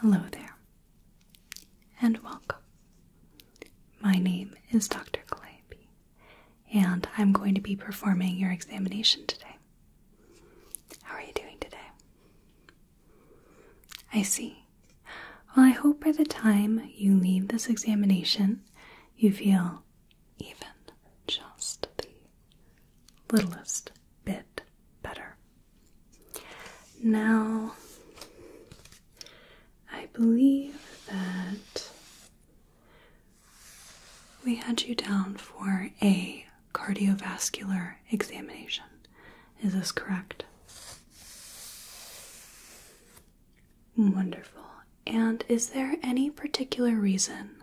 Hello there, and welcome. My name is Dr. Calliope, and I'm going to be performing your examination today. How are you doing today? I see. Well, I hope by the time you leave this examination, you feel even just the littlest bit better. Now, I believe that we had you down for a cardiovascular examination. Is this correct? Wonderful. And is there any particular reason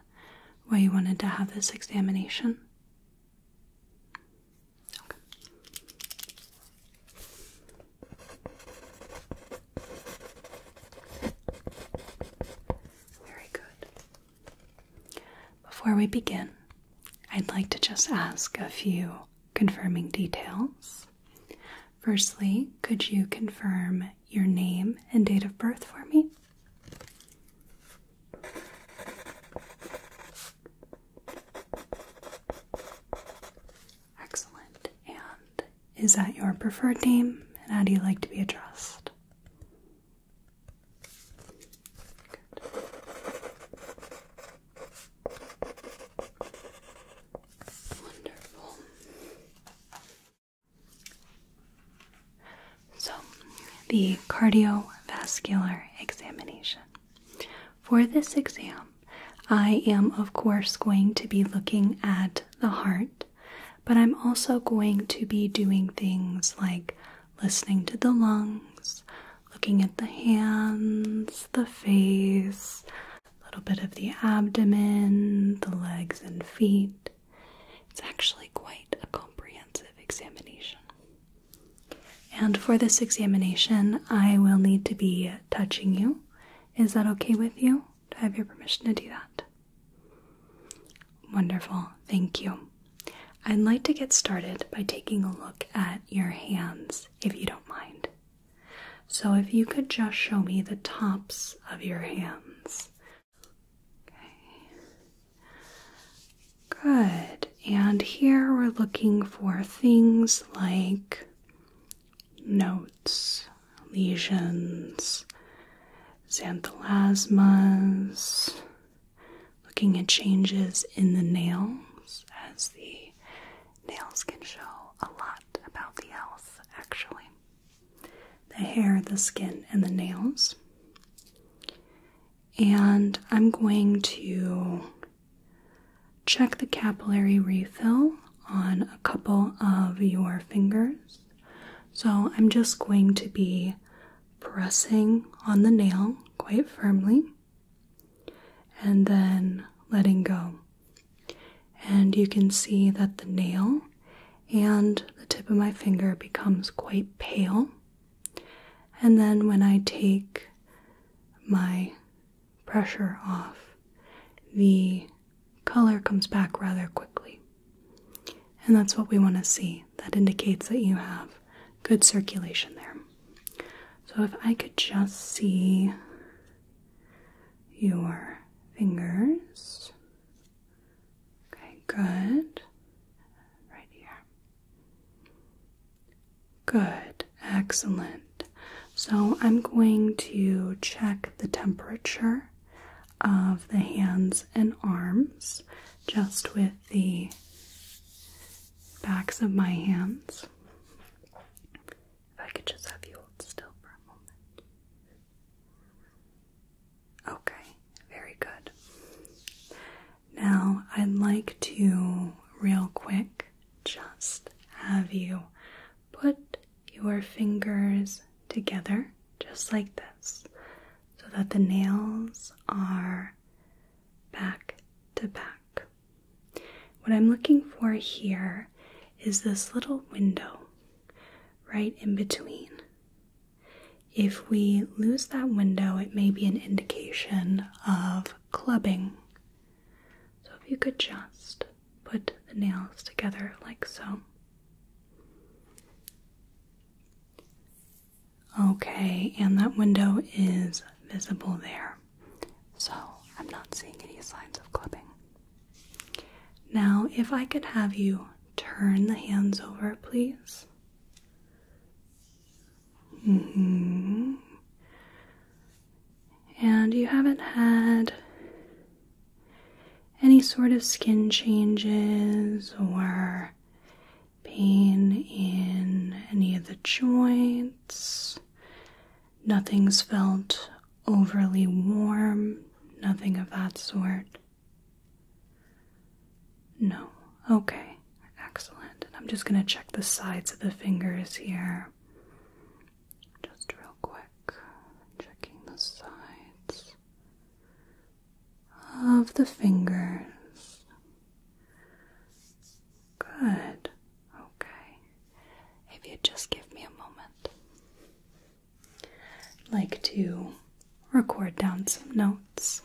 why you wanted to have this examination? Very good. Before we begin, I'd like to just ask a few confirming details. Firstly, could you confirm your name and date of birth for me? Excellent. And is that your preferred name? And how do you like to be addressed? Wonderful. So, the cardiovascular examination. For this exam, I am, of course, going to be looking at the heart, but I'm also going to be doing things like listening to the lungs, looking at the hands, the face, a little bit of the abdomen, the legs and feet. It's actually quite a comprehensive examination. And for this examination, I will need to be touching you. Is that okay with you? Do I have your permission to do that? Wonderful, thank you. I'd like to get started by taking a look at your hands, if you don't mind. So, if you could just show me the tops of your hands. Okay. Good. And here we're looking for things like notes, lesions, xanthelasmas, looking at changes in the nails, as the nails can show a lot about the health, actually. The hair, the skin, and the nails and I'm going to check the capillary refill on a couple of your fingers. So I'm just going to be pressing on the nail quite firmly and then letting go. And you can see that the nail and the tip of my finger becomes quite pale and then when I take my pressure off, the color comes back rather quickly. And that's what we want to see. That indicates that you have good circulation there. So if I could just see your fingers. Okay, good. Right here. Good, excellent. So I'm going to check the temperature of the hands and arms just with the backs of my hands. If I could just have you hold still for a moment. Okay, very good. Now, I'd like to, real quick, just have you put your fingers together, just like this, so that the nails are back to back. What I'm looking for here is this little window right in between if we lose that window, it may be an indication of clubbing. So if you could just put the nails together like so. Okay, and that window is visible there. So I'm not seeing any signs of clubbing. Now, if I could have you turn the hands over, please. Mm-hmm. And you haven't had any sort of skin changes or pain in any of the joints. Nothing's felt overly warm, nothing of that sort. No. Okay. Excellent. I'm just going to check the sides of the fingers here. Just real quick. Checking the sides of the fingers. Good. Okay. If you just give me a moment. like to record down some notes.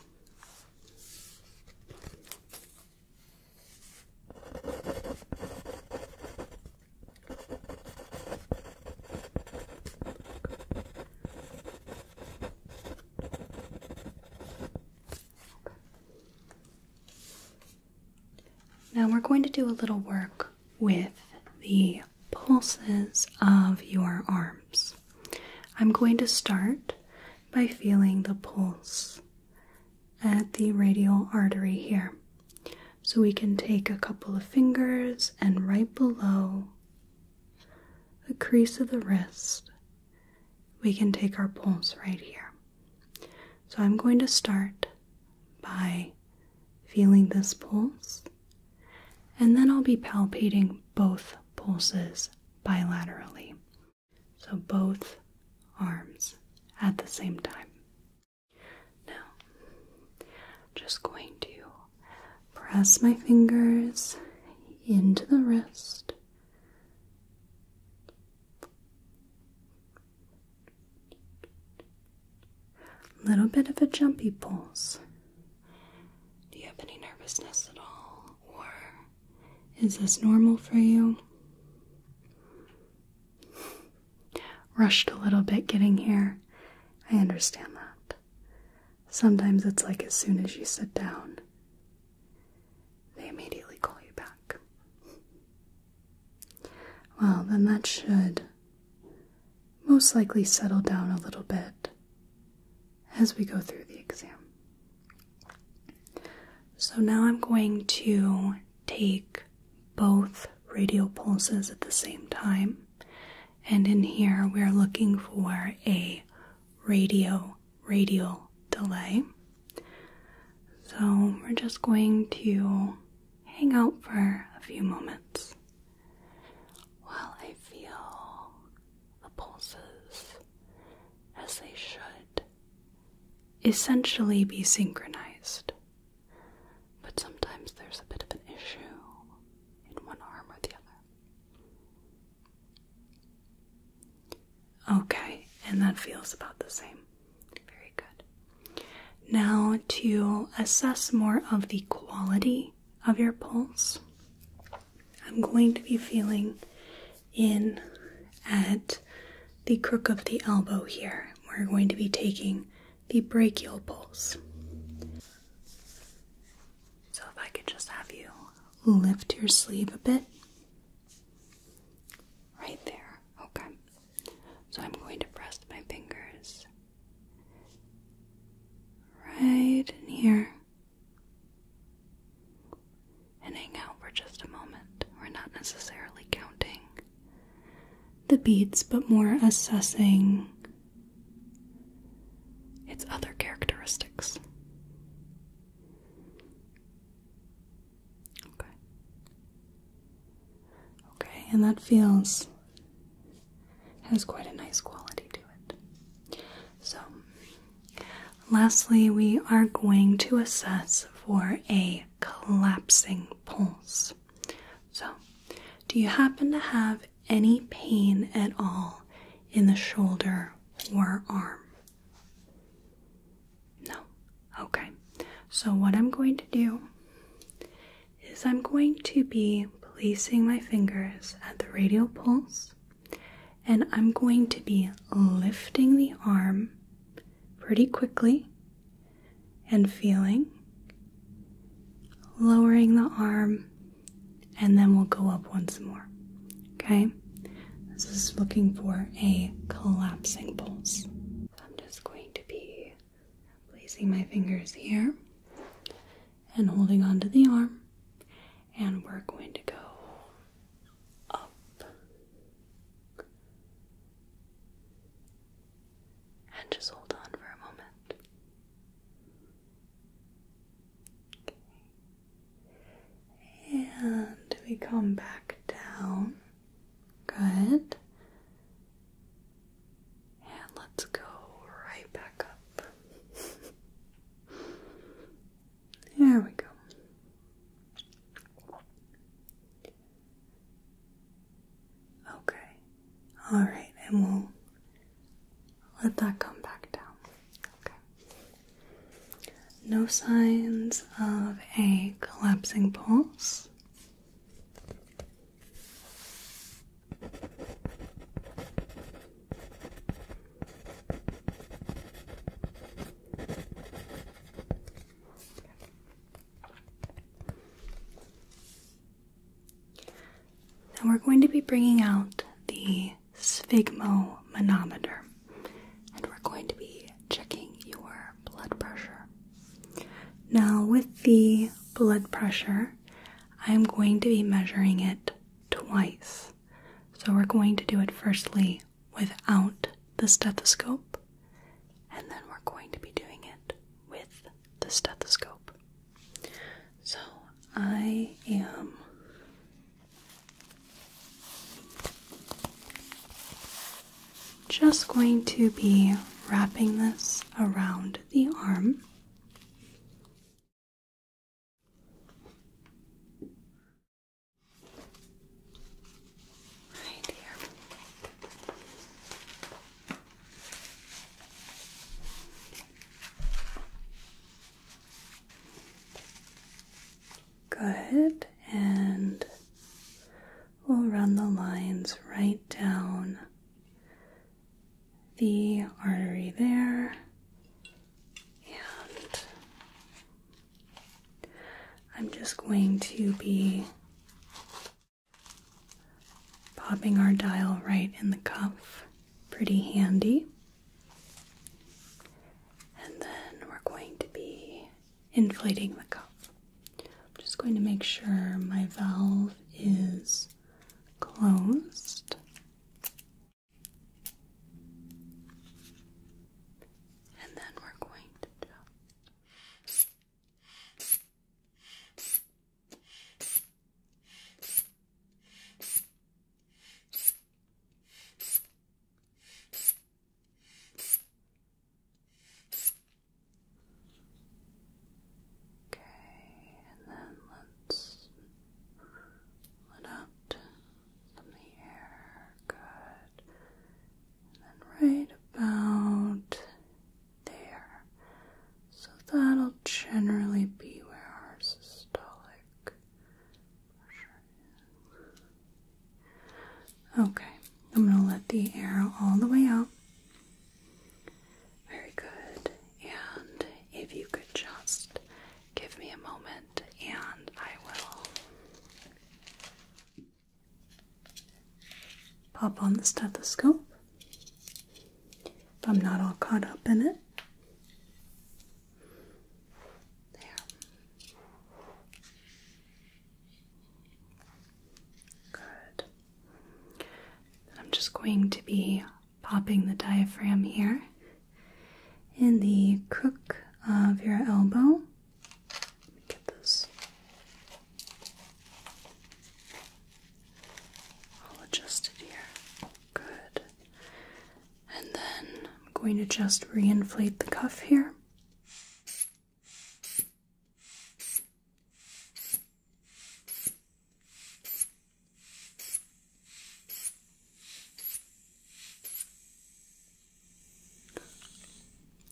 Now we're going to do a little work with the pulses of your arms. I'm going to start by feeling the pulse at the radial artery here. So we can take a couple of fingers and right below the crease of the wrist, we can take our pulse right here. So I'm going to start by feeling this pulse, and then I'll be palpating both pulses bilaterally. So both arms at the same time. Now, just going to press my fingers into the wrist. Little bit of a jumpy pulse. Do you have any nervousness at all? is this normal for you? Rushed a little bit getting here. I understand that. Sometimes it's like as soon as you sit down, they immediately call you back. Well, then that should most likely settle down a little bit as we go through the exam. So now I'm going to take both radial pulses at the same time, and in here we're looking for a radio radial delay. So we're just going to hang out for a few moments while I feel the pulses as they should essentially be synchronized. But sometimes there's a bit of an issue in one arm or the other. Okay, and that feels about the same. Very good. Now, to assess more of the quality of your pulse, I'm going to be feeling in at the crook of the elbow here. We're going to be taking the brachial pulse. So, if I could just have you lift your sleeve a bit. Right there. Okay. So, I'm going to rest my fingers right in here and hang out for just a moment. We're not necessarily counting the beads, but more assessing its other characteristics. Okay. Okay, and that feels has quite a nice quality to it. So, Lastly, we are going to assess for a collapsing pulse. So, do you happen to have any pain at all in the shoulder or arm? No. Okay. So, what I'm going to do is I'm going to be placing my fingers at the radial pulse and I'm going to be lifting the arm pretty quickly and feeling, lowering the arm, and then we'll go up once more. Okay? This is looking for a collapsing pulse. I'm just going to be placing my fingers here and holding onto the arm and we're going to go up. And just hold on for a moment. Okay. And we come back down. Good. And let's go right back up. There we go. Okay. All right, and we'll let that come back down. Okay. No signs of a collapsing pulse. Now we're going to be bringing out the sphygmomanometer and we're going to be checking your blood pressure. Now, with the blood pressure, I'm going to be measuring it twice. So we're going to do it firstly without the stethoscope, and then we're going to be doing it with the stethoscope. So I am just going to be wrapping this around the arm. Good, and we'll run the lines right down the artery there, and I'm just going to be popping our dial right in the cuff, pretty handy. And then we're going to be inflating the cuff. I'm just going to make sure my valve is closed. And then we're going to Okay, and then let's let out from air. Good. then right about there. So that'll generally be where our systolic Okay, I'm going to let the air all the way out. Very good. And if you could just give me a moment and I will pop on the stethoscope if I'm not all caught up in it. There. Good. I'm just going to be popping the diaphragm here in the crook of your elbow. get this. All adjusted here. Good. And then I'm going to just reinflate the cuff here.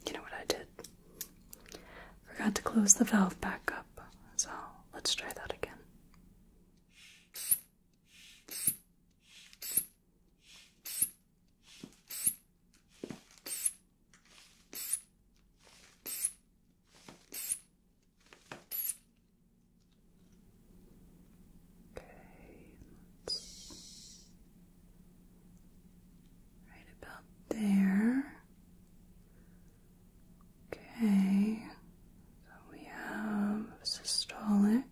You know what I did? Forgot to close the valve back up, so let's try that again. Okay, right about there. Okay, so we have systolic.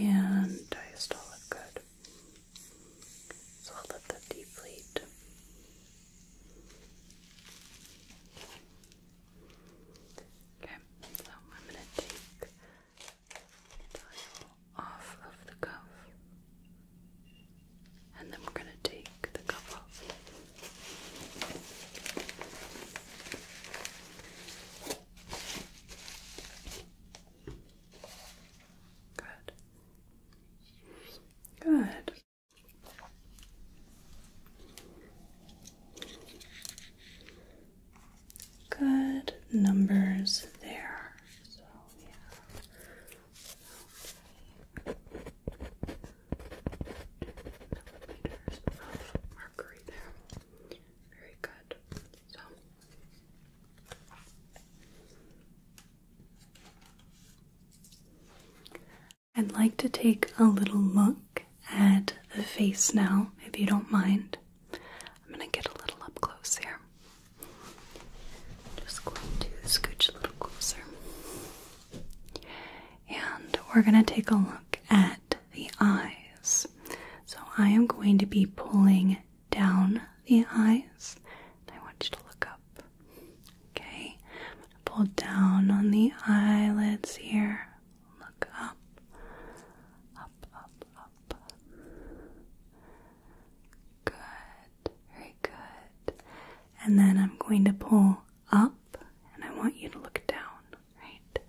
And diastolic, good. So I'll let them deflate. Okay, so I'm going to take the tile off of the cuff. And then we're going to take the cuff off. Good. Good. Good numbers there. So we have millimeters of mercury there. Very good. So I'd like to take a little look at the face now, if you don't mind. I'm going to get a little up close here. Just going to scooch a little closer. And we're going to take a look at the eyes. So I am going to be pulling down the eyes. I want you to look up. Okay? I'm gonna pull down on the eyelids here. Look up. Up, up, up. Good. Very good. And then I'm going to pull up and I want you to look down, right?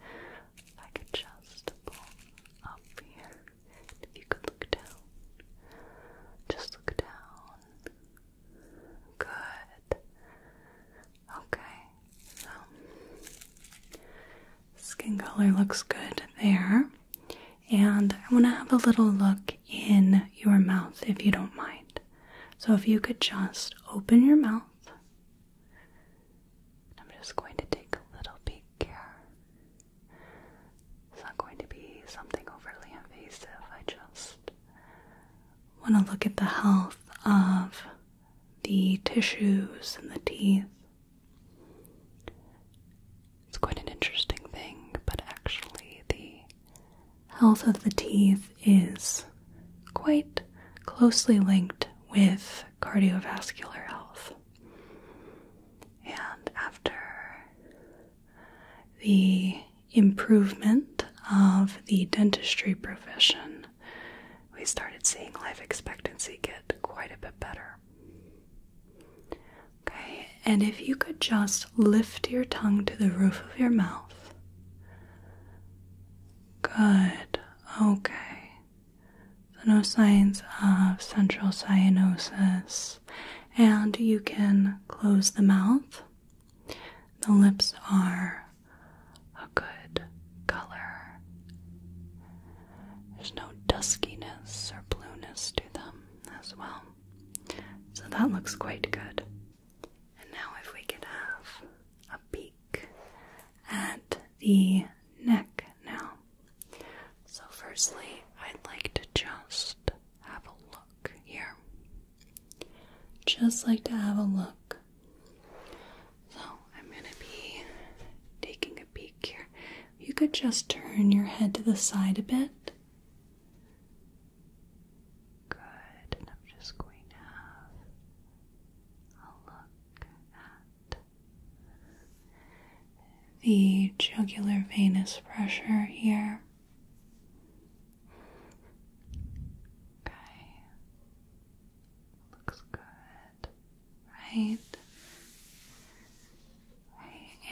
I could just pull up here if you could look down, just look down. Good. Okay, so skin color looks good there. And I want to have a little look in your mouth if you don't mind. So if you could just open your mouth. I'm just going to take a little peek here. It's not going to be something overly invasive. I just want to look at the health of the tissues and the teeth. It's quite an interesting thing, but actually, the health of the teeth is quite closely linked with cardiovascular health. And after the improvement of the dentistry profession, we started seeing life expectancy get quite a bit better. Okay, and if you could just lift your tongue to the roof of your mouth. Good, okay. So, no signs of central cyanosis and you can close the mouth. The lips are a good color. There's no duskiness or blueness to them as well. So that looks quite good. And now, if we could have a peek at the neck now. So, firstly, I'd like to just have a look here. Just like to have a look. So I'm going to be taking a peek here. You could just turn your head to the side a bit. Good. I'm just going to have a look at the jugular venous pressure here. Okay. Looks good. Right.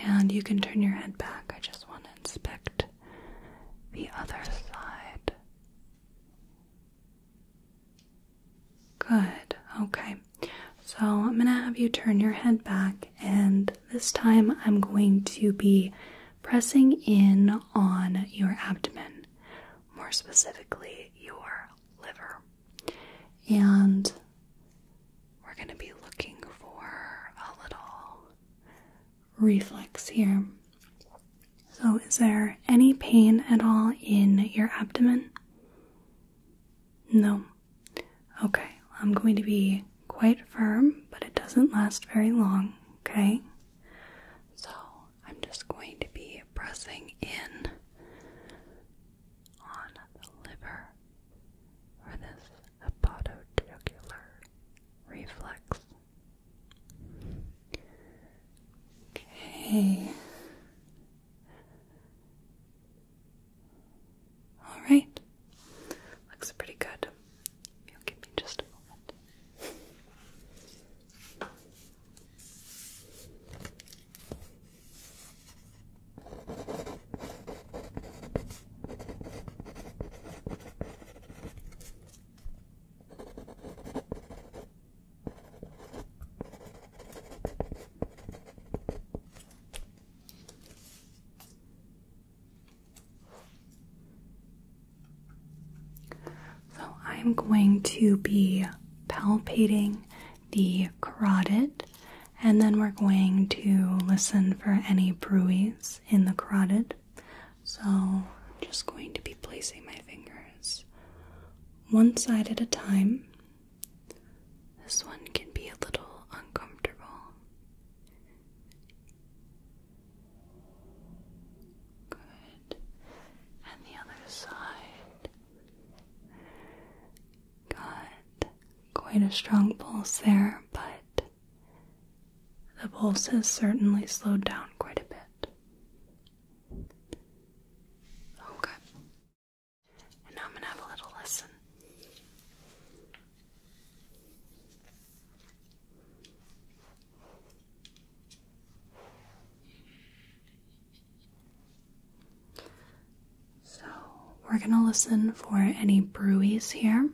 And you can turn your head back. I just want to inspect the other side. Good. Okay. So I'm going to have you turn your head back and this time I'm going to be pressing in on your abdomen, more specifically your liver. And we're going to be looking for a little reflex here. So, is there any pain at all in your abdomen? No. Okay, I'm going to be quite firm, but it doesn't last very long, okay? So I'm just going to be pressing in on the liver for this hepatojugular reflex. Okay. All right. Looks pretty good. give me just a moment. So I'm going to be palpating the carotid and then we're going to listen for any bruise in the carotid. So I'm just going to be placing my fingers one side at a time this one can be a little uncomfortable. Good. And the other side. Got quite a strong pulse there, but the pulse has certainly slowed down quite a bit. Okay. Oh, now I'm going to have a little listen. So, we're going to listen for any brewies here.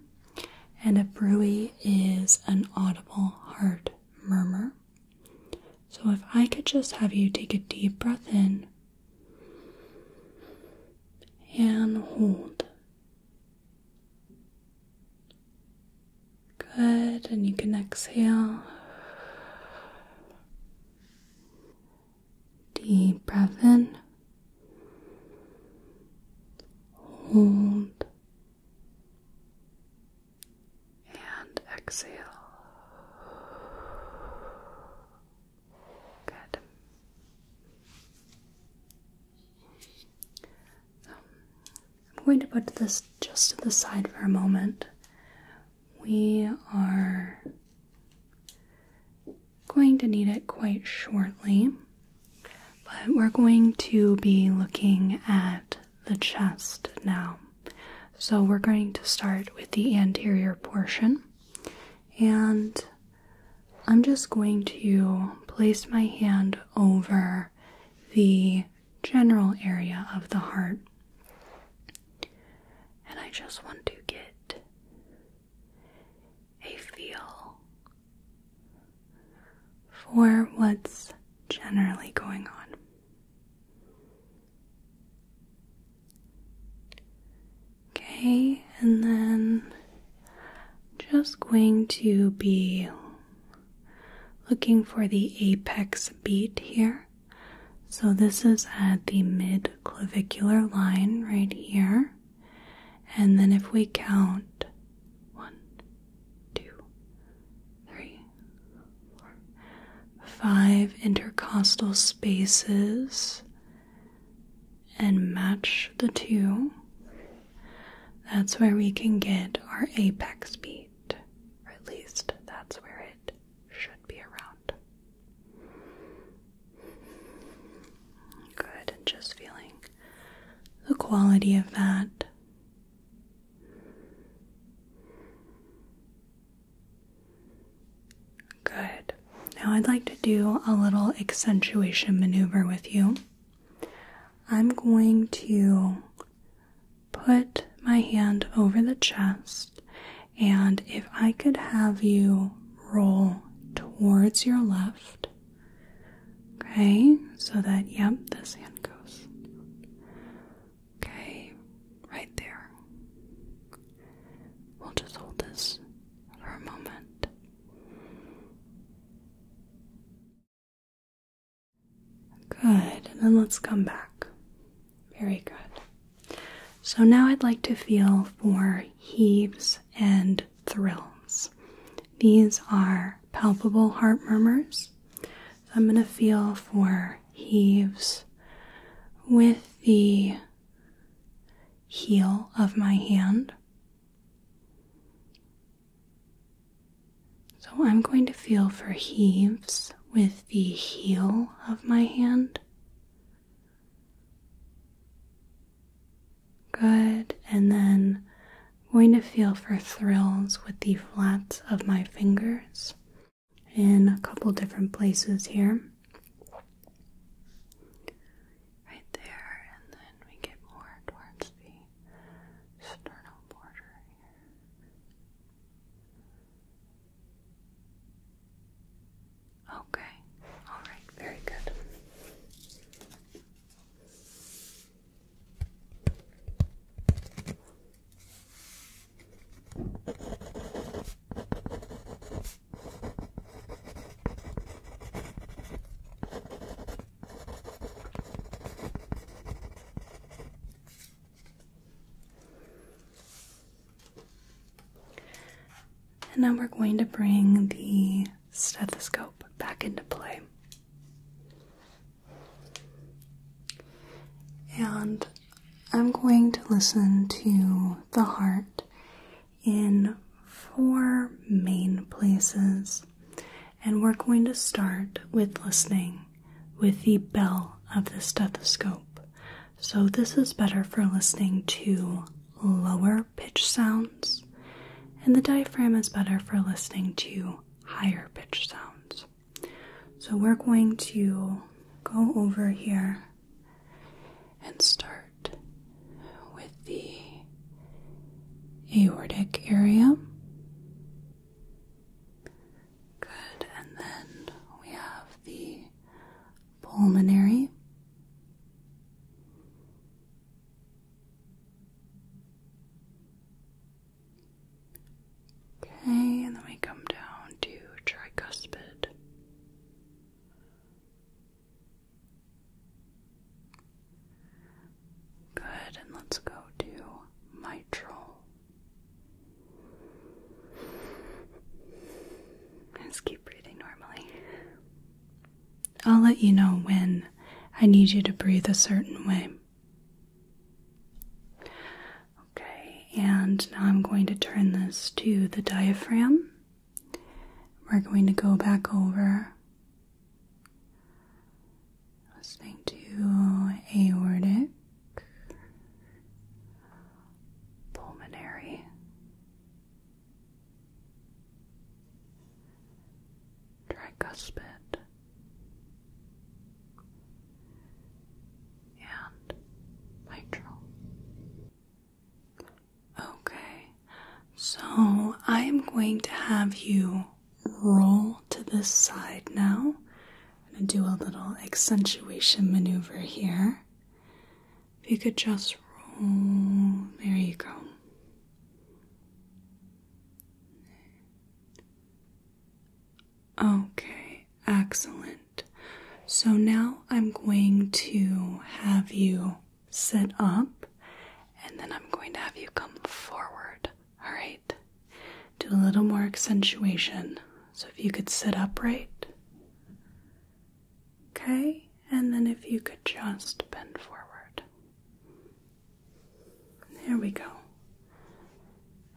And a brewie is an audible heart murmur. So, if I could just have you take a deep breath in and hold. Good, and you can exhale. Deep breath in. Hold and exhale. Good. Um, I'm going to put this just to the side for a moment. We are going to need it quite shortly, but we're going to be looking at the chest now. So, we're going to start with the anterior portion and I'm just going to place my hand over the general area of the heart. And I just want to get a feel for what's generally going on. Okay, and then just going to be looking for the apex beat here. So this is at the mid clavicular line right here. And then if we count one, two, three, four, five intercostal spaces and match the two, that's where we can get our apex beat. Or at least that's where it should be around. Good, and just feeling the quality of that. Good. Now I'd like to do a little accentuation maneuver with you. I'm going to put my hand over the chest, and if I could have you roll towards your left, okay, so that, yep, this hand goes. Okay, right there. We'll just hold this for a moment. Good, then let's come back. Very good. So now I'd like to feel for heaves and thrills. These are palpable heart murmurs. I'm going to feel for heaves with the heel of my hand. So I'm going to feel for heaves with the heel of my hand. Good, and then I'm going to feel for thrills with the flats of my fingers in a couple different places here right there, and then we get more towards the sternal border Okay, alright, very good. And now we're going to bring the stethoscope back into play. And I'm going to listen to the heart in four main places. And we're going to start with listening with the bell of the stethoscope. So, this is better for listening to lower pitch sounds, and the diaphragm is better for listening to higher pitch sounds. So, we're going to go over here and start with the aortic area. Good, and then we have the pulmonary. Okay, and then we come down to tricuspid. Good, and let's go to mitral. let keep breathing normally. I'll let you know when I need you to breathe a certain way. Okay, and now I'm going to turn this to the diaphragm. We're going to go back over listening to aortic, pulmonary, tricuspid, and mitral. Okay, so I am going to have you roll to this side now. and do a little accentuation maneuver here. If you could just roll, there you go. Okay, excellent. So now I'm going to have you sit up and then I'm going to have you come forward. All right. Do a little more accentuation. So if you could sit upright. Okay. And then if you could just bend forward. There we go.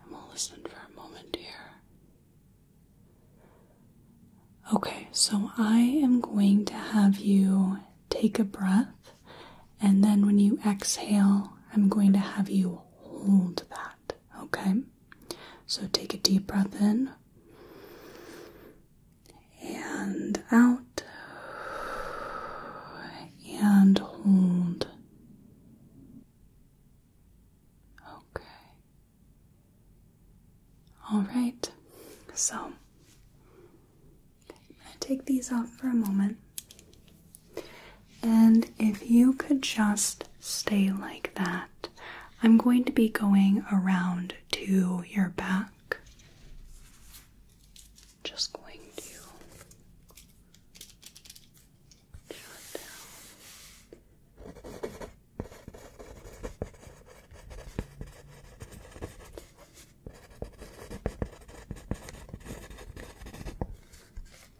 And we'll listen for a moment here. Okay, so I am going to have you take a breath, and then when you exhale, I'm going to have you hold that, okay? So take a deep breath in and out and hold. Okay, all right, so I'm going to take these off for a moment. And if you could just stay like that, I'm going to be going around to your back. Just going to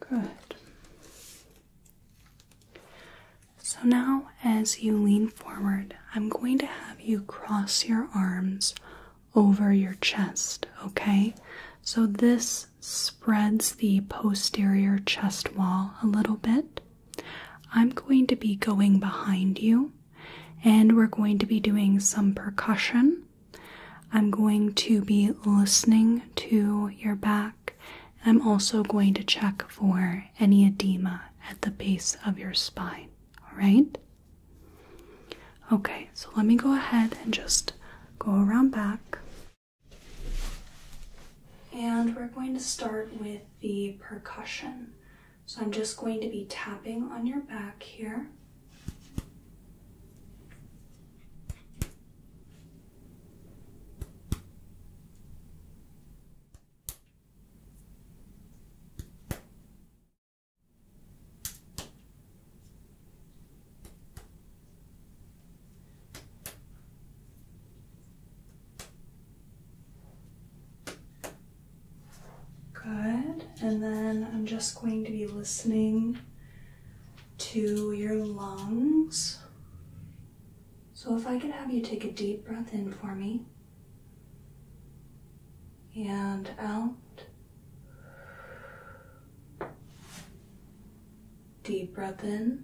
Good. So now, as you lean forward, I'm going to have you cross your arms over your chest, okay? So this spreads the posterior chest wall a little bit. I'm going to be going behind you and we're going to be doing some percussion. I'm going to be listening to your back. I'm also going to check for any edema at the base of your spine. All right? Okay, so let me go ahead and just go around back. And we're going to start with the percussion. So I'm just going to be tapping on your back here. Good. And then I'm just going to be listening to your lungs. So if I could have you take a deep breath in for me and out. Deep breath in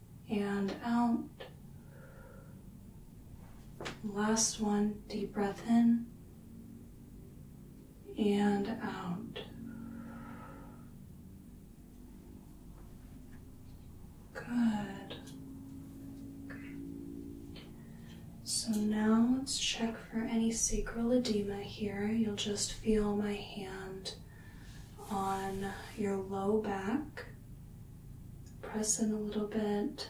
and out. Last one, deep breath in and out. Good. So now let's check for any sacral edema here. You'll just feel my hand on your low back press in a little bit.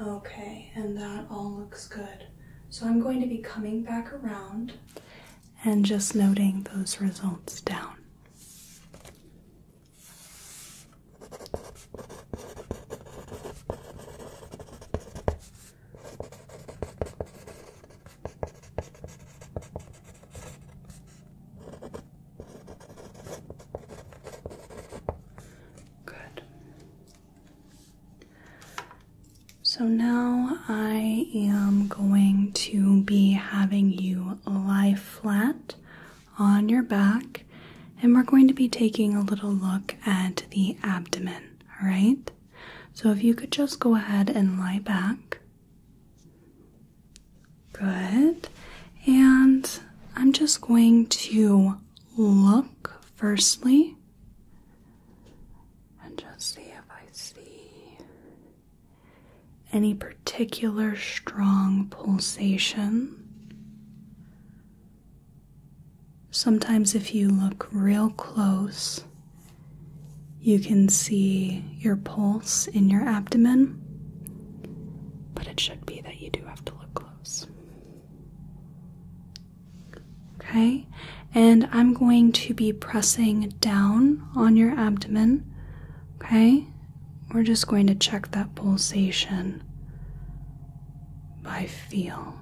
Okay, and that all looks good. So I'm going to be coming back around and just noting those results down. Good. So now I am going to be having you lie flat on your back, and we're going to be taking a little look at the abdomen, all right? So if you could just go ahead and lie back. Good. And I'm just going to look firstly and just see if I see any particular strong pulsation. Sometimes, if you look real close, you can see your pulse in your abdomen, but it should be that you do have to look close. Okay, and I'm going to be pressing down on your abdomen. Okay, we're just going to check that pulsation by feel.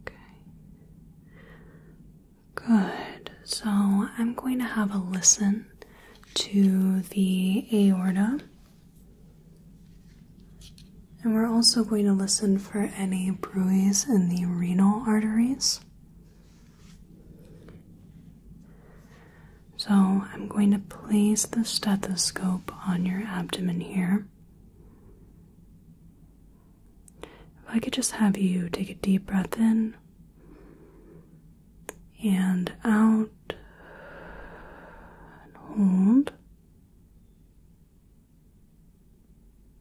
Okay. Good. So I'm going to have a listen to the aorta. And we're also going to listen for any bruise in the renal arteries. So I'm going to place the stethoscope on your abdomen here. If I could just have you take a deep breath in and out hold.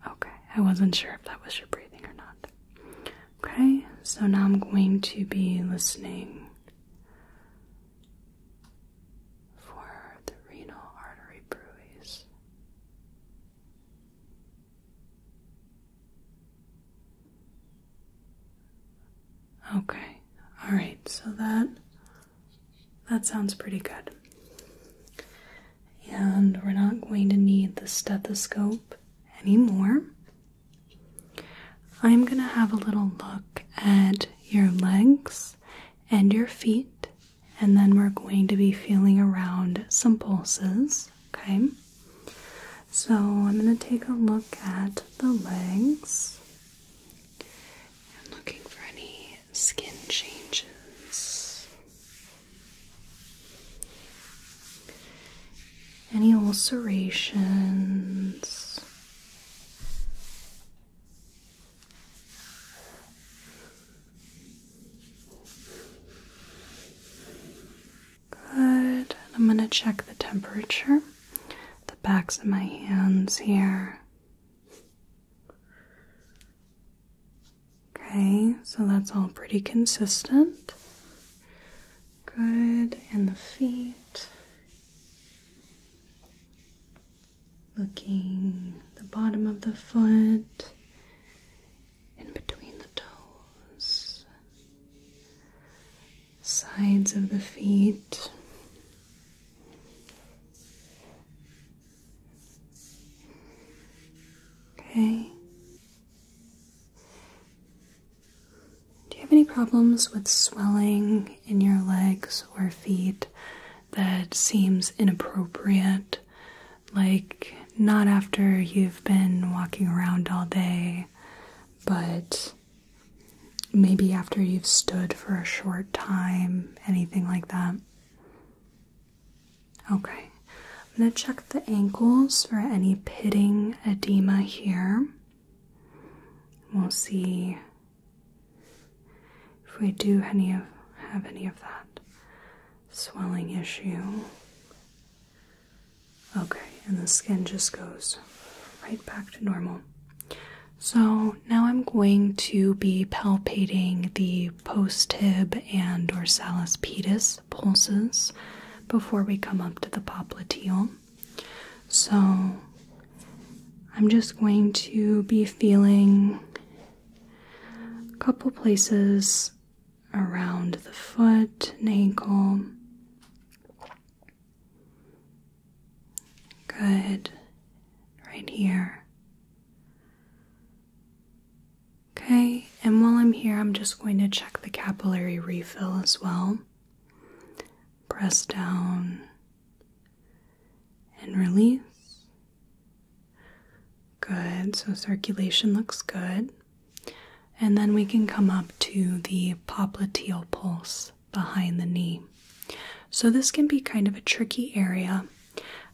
Okay, I wasn't sure if that was your breathing or not. Okay, so now I'm going to be listening for the renal artery bruise. Okay. All right. So that that sounds pretty good. And we're not going to need the stethoscope anymore. I'm going to have a little look at your legs and your feet and then we're going to be feeling around some pulses, okay? So I'm going to take a look at the legs. i looking for any skin changes. Any ulcerations? Good. I'm going to check the temperature, the backs of my hands here. Okay, so that's all pretty consistent. Good, and the feet looking the bottom of the foot in between the toes sides of the feet okay do you have any problems with swelling in your legs or feet that seems inappropriate like, not after you've been walking around all day, but maybe after you've stood for a short time, anything like that. Okay, I'm going to check the ankles for any pitting edema here. We'll see if we do any of have any of that swelling issue. Okay, and the skin just goes right back to normal. So now I'm going to be palpating the post tib and dorsalis pedis pulses before we come up to the popliteal. So I'm just going to be feeling a couple places around the foot and ankle. Good. Right here. Okay, and while I'm here, I'm just going to check the capillary refill as well. Press down, and release. Good, so circulation looks good. And then we can come up to the popliteal pulse behind the knee. So, this can be kind of a tricky area.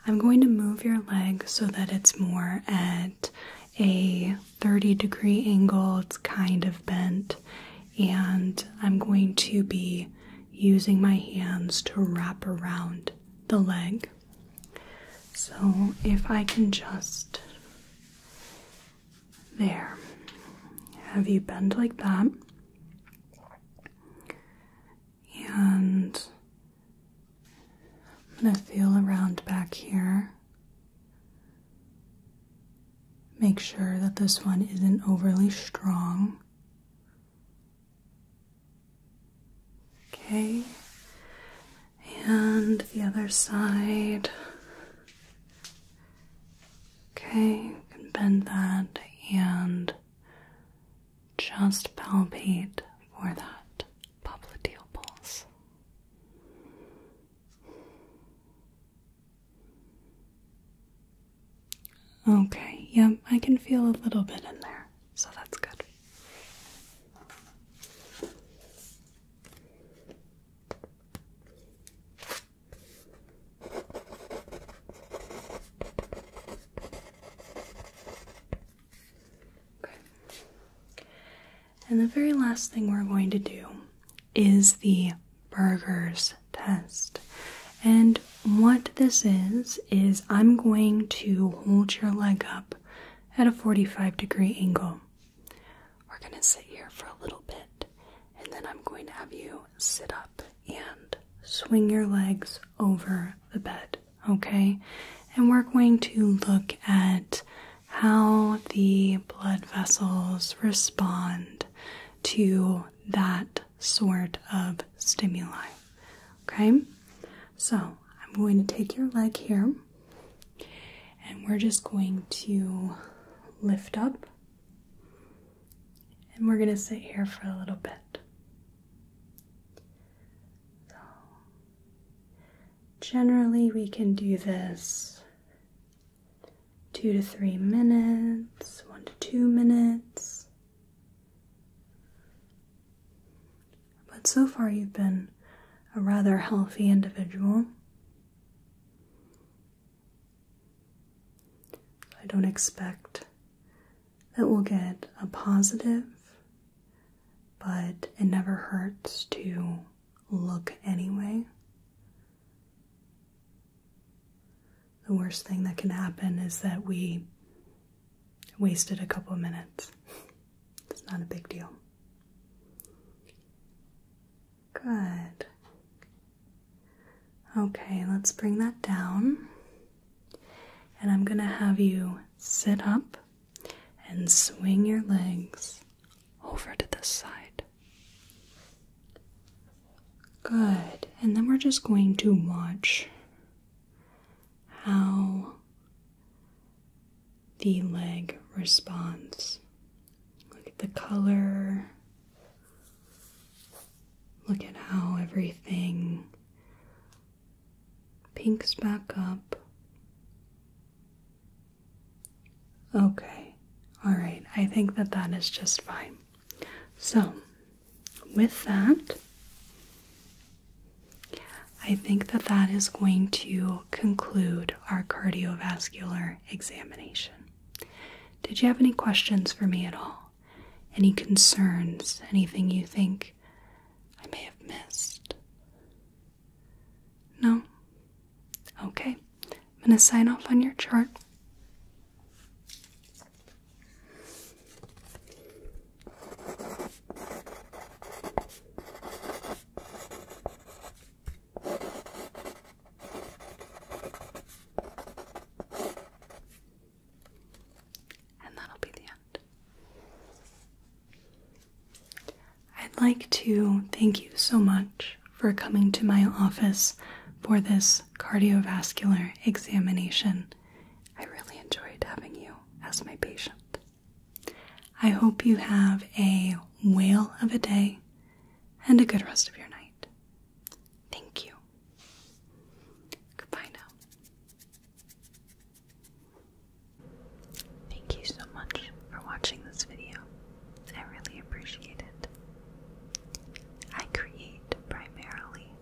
I'm going to move your leg so that it's more at a 30 degree angle, it's kind of bent, and I'm going to be using my hands to wrap around the leg. So if I can just. There. Have you bend like that? And I'm going to feel around back here. Make sure that this one isn't overly strong. Okay, and the other side. Okay, you can bend that and just palpate for that popliteal pulse. Okay, yeah, I can feel a little bit in there, so that's good. And the very last thing we're going to do is the Burgers test. And what this is, is I'm going to hold your leg up at a 45 degree angle. We're going to sit here for a little bit, and then I'm going to have you sit up and swing your legs over the bed, okay? And we're going to look at how the blood vessels respond to that sort of stimuli. Okay? So I'm going to take your leg here and we're just going to lift up and we're going to sit here for a little bit. generally, we can do this two to three minutes, one to two minutes. But so far, you've been a rather healthy individual. I don't expect that we'll get a positive, but it never hurts to look anyway the worst thing that can happen is that we wasted a couple minutes. it's not a big deal. Good. Okay, let's bring that down. And I'm going to have you sit up and swing your legs over to the side. Good. And then we're just going to watch how the leg responds. Look at the color. Look at how everything pinks back up. Okay, all right, I think that that is just fine. So, with that, I think that that is going to conclude our cardiovascular examination. Did you have any questions for me at all? Any concerns? Anything you think I may have missed? No? Okay. I'm going to sign off on your chart. And that'll be the end. I'd like to thank you so much for coming to my office for this cardiovascular examination. I really enjoyed having you as my patient. I hope you have a whale of a day and a good rest of your night. Thank you. Goodbye now. Thank you so much for watching this video. I really appreciate it. I create primarily